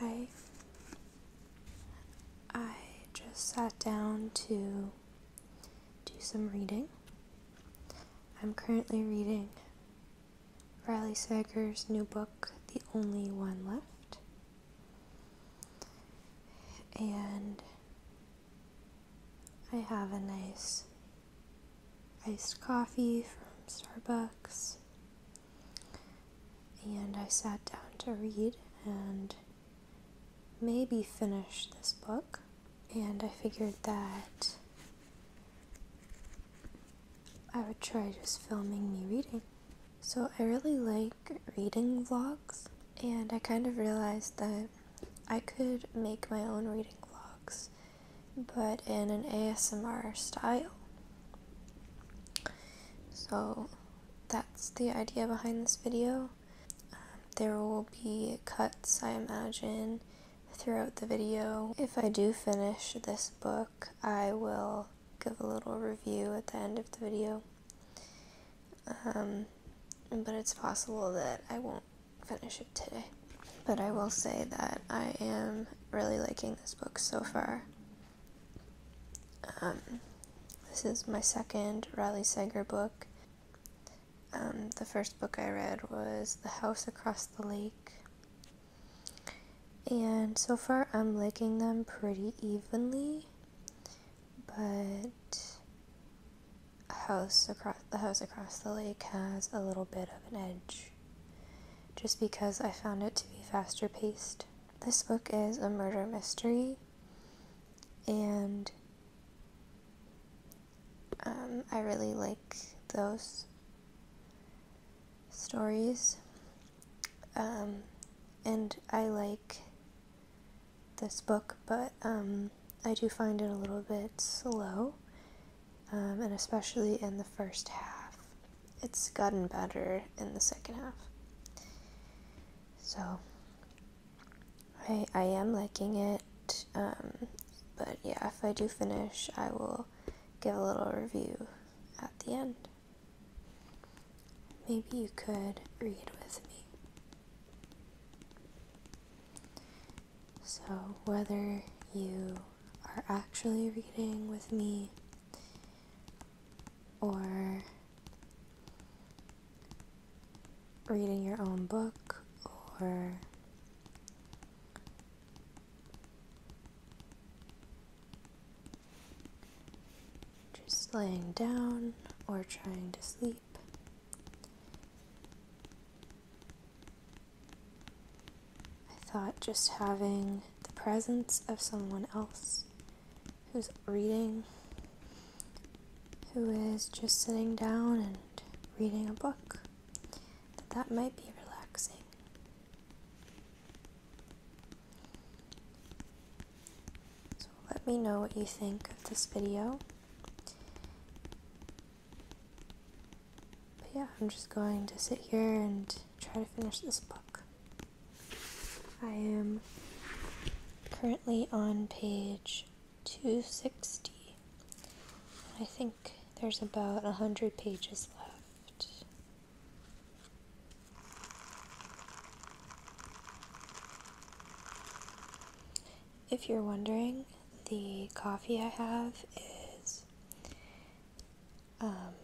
Hi, I just sat down to do some reading. I'm currently reading Riley Sager's new book, The Only One Left. And I have a nice iced coffee from Starbucks. And I sat down to read and maybe finish this book and I figured that I would try just filming me reading. So I really like reading vlogs, and I kind of realized that I could make my own reading vlogs, but in an ASMR style. So that's the idea behind this video. Um, there will be cuts, I imagine, throughout the video. If I do finish this book, I will give a little review at the end of the video. Um, but it's possible that I won't finish it today. But I will say that I am really liking this book so far. Um, this is my second Riley Sager book. Um, the first book I read was The House Across the Lake. And so far, I'm liking them pretty evenly, but house across the house across the lake has a little bit of an edge, just because I found it to be faster paced. This book is a murder mystery, and um, I really like those stories. Um, and I like this book, but um, I do find it a little bit slow, and especially in the first half. It's gotten better in the second half. So, I, I am liking it, um, but yeah, if I do finish, I will give a little review at the end. Maybe you could read with me. So, whether you are actually reading with me or reading your own book or just laying down or trying to sleep. I thought just having the presence of someone else who's reading, who is just sitting down and reading a book, that that might be relaxing. So let me know what you think of this video. But yeah, I'm just going to sit here and try to finish this book. I am currently on page 260. I think there's about 100 pages left. If you're wondering, the coffee I have is um,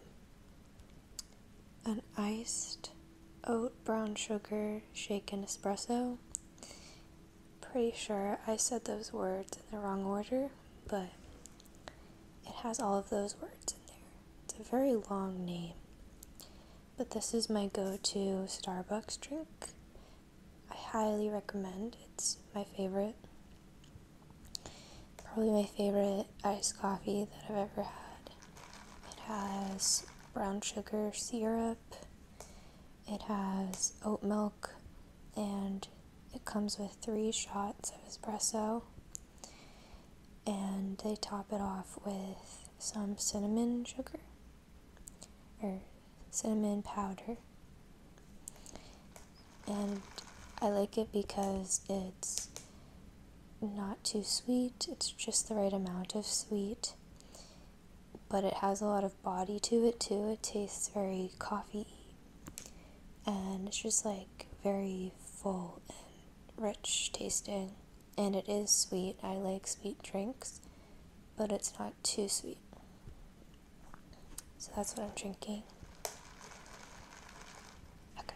an iced oat, brown sugar, shaken espresso. Pretty sure I said those words in the wrong order, but it has all of those words in there. It's a very long name. But this is my go to Starbucks drink. I highly recommend. It's my favorite. Probably my favorite iced coffee that I've ever had. It has brown sugar syrup. It has oat milk and it comes with three shots of espresso. And they top it off with some cinnamon sugar or cinnamon powder. And I like it because it's not too sweet, it's just the right amount of sweet, but it has a lot of body to it too. It tastes very coffee and it's just like very full and rich tasting. And it is sweet. I like sweet drinks, but it's not too sweet. So that's what I'm drinking. Okay.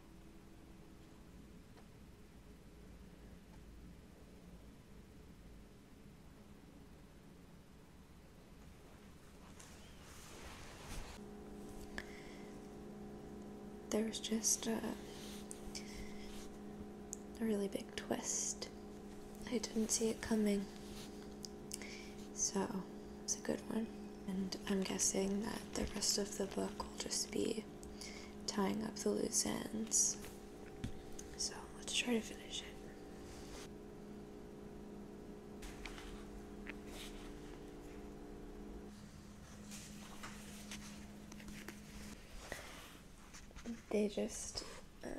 There was just a, really big twist. I didn't see it coming. So it's a good one. And I'm guessing that the rest of the book will just be tying up the loose ends. So let's try to finish it. They just, um,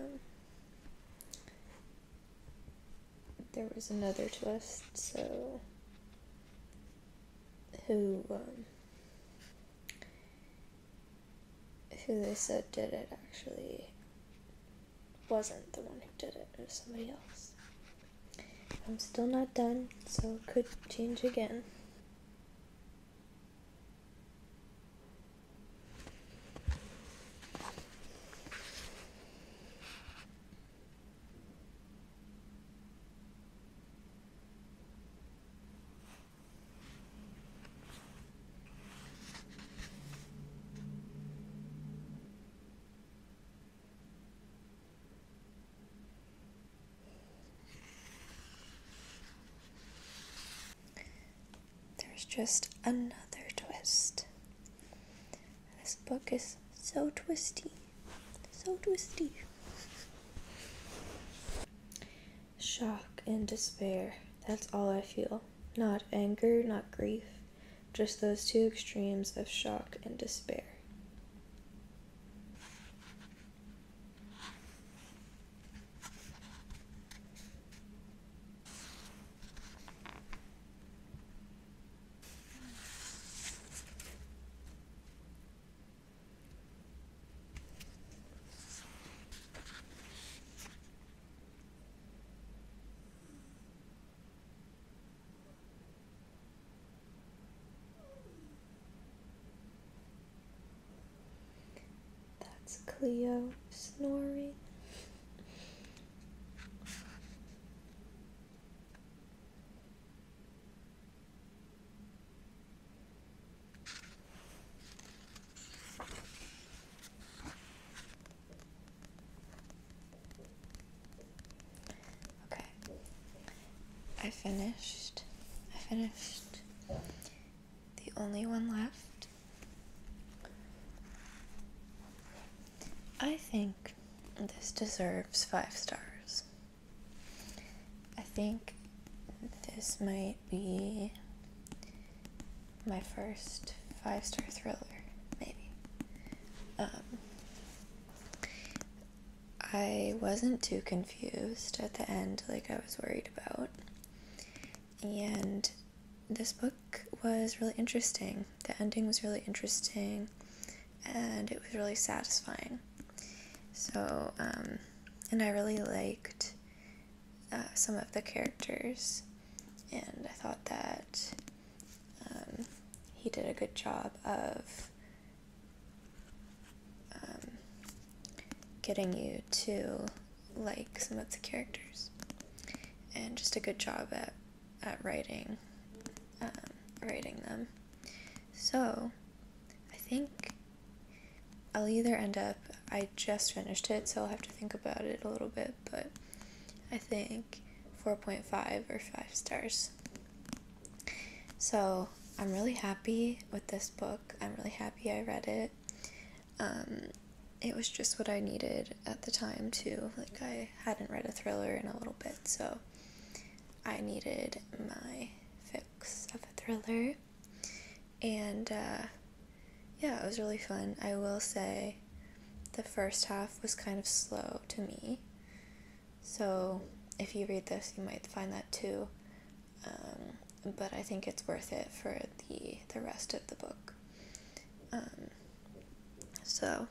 there was another twist, so who um, who they said did it actually wasn't the one who did it. It was somebody else. I'm still not done, so it could change again. There's just another twist. This book is so twisty. So twisty. Shock and despair. That's all I feel. Not anger, not grief. Just those two extremes of shock and despair. That's Cleo snoring. Okay. I finished. I finished. The only one left. I think this deserves five stars. I think this might be my first five star thriller, maybe. Um, I wasn't too confused at the end, like I was worried about. And this book was really interesting. The ending was really interesting and it was really satisfying. So, um, and I really liked uh, some of the characters, and I thought that um, he did a good job of um, getting you to like some of the characters, and just a good job at at writing um, writing them. So I think I'll either end up I just finished it, so I'll have to think about it a little bit, but I think 4.5 or 5 stars. So I'm really happy with this book. I'm really happy I read it. Um, it was just what I needed at the time too. Like I hadn't read a thriller in a little bit, so I needed my fix of a thriller. And uh, yeah, it was really fun. I will say the first half was kind of slow to me. So if you read this, you might find that too. Um, but I think it's worth it for the the rest of the book. Um, so,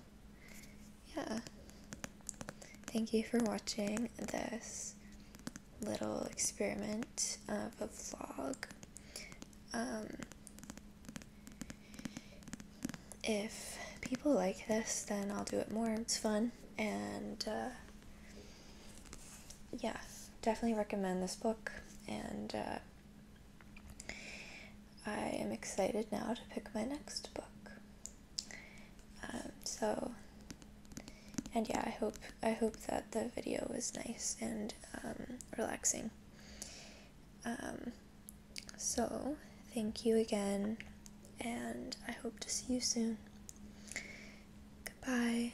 yeah. Thank you for watching this little experiment of a vlog. Um, if people like this, then I'll do it more. It's fun. And uh, yeah, definitely recommend this book. And uh, I am excited now to pick my next book. Um, so, and yeah, I hope I hope that the video was nice and um, relaxing. Um, so, thank you again, and I hope to see you soon. Goodbye.